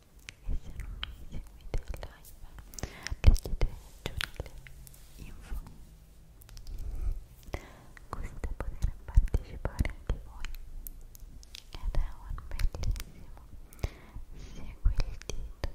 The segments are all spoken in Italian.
e se non mi seguite in live leggete giù nelle info così da poter partecipare anche voi ed è un bellissimo segui il dito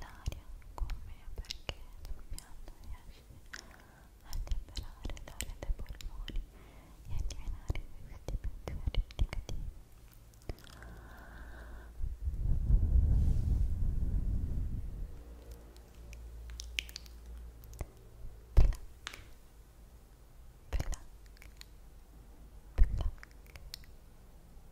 l'aria con me perché sul piatto riesce a liberare l'aria dai polmoni e a eliminare questi pensieri negativi. Plac, plac, plac, plac,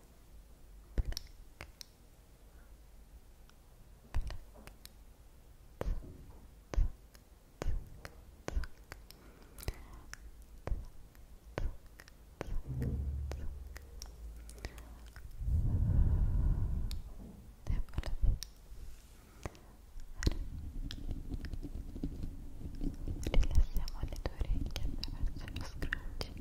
rilassiamo le tue orecchie attraverso lo scratch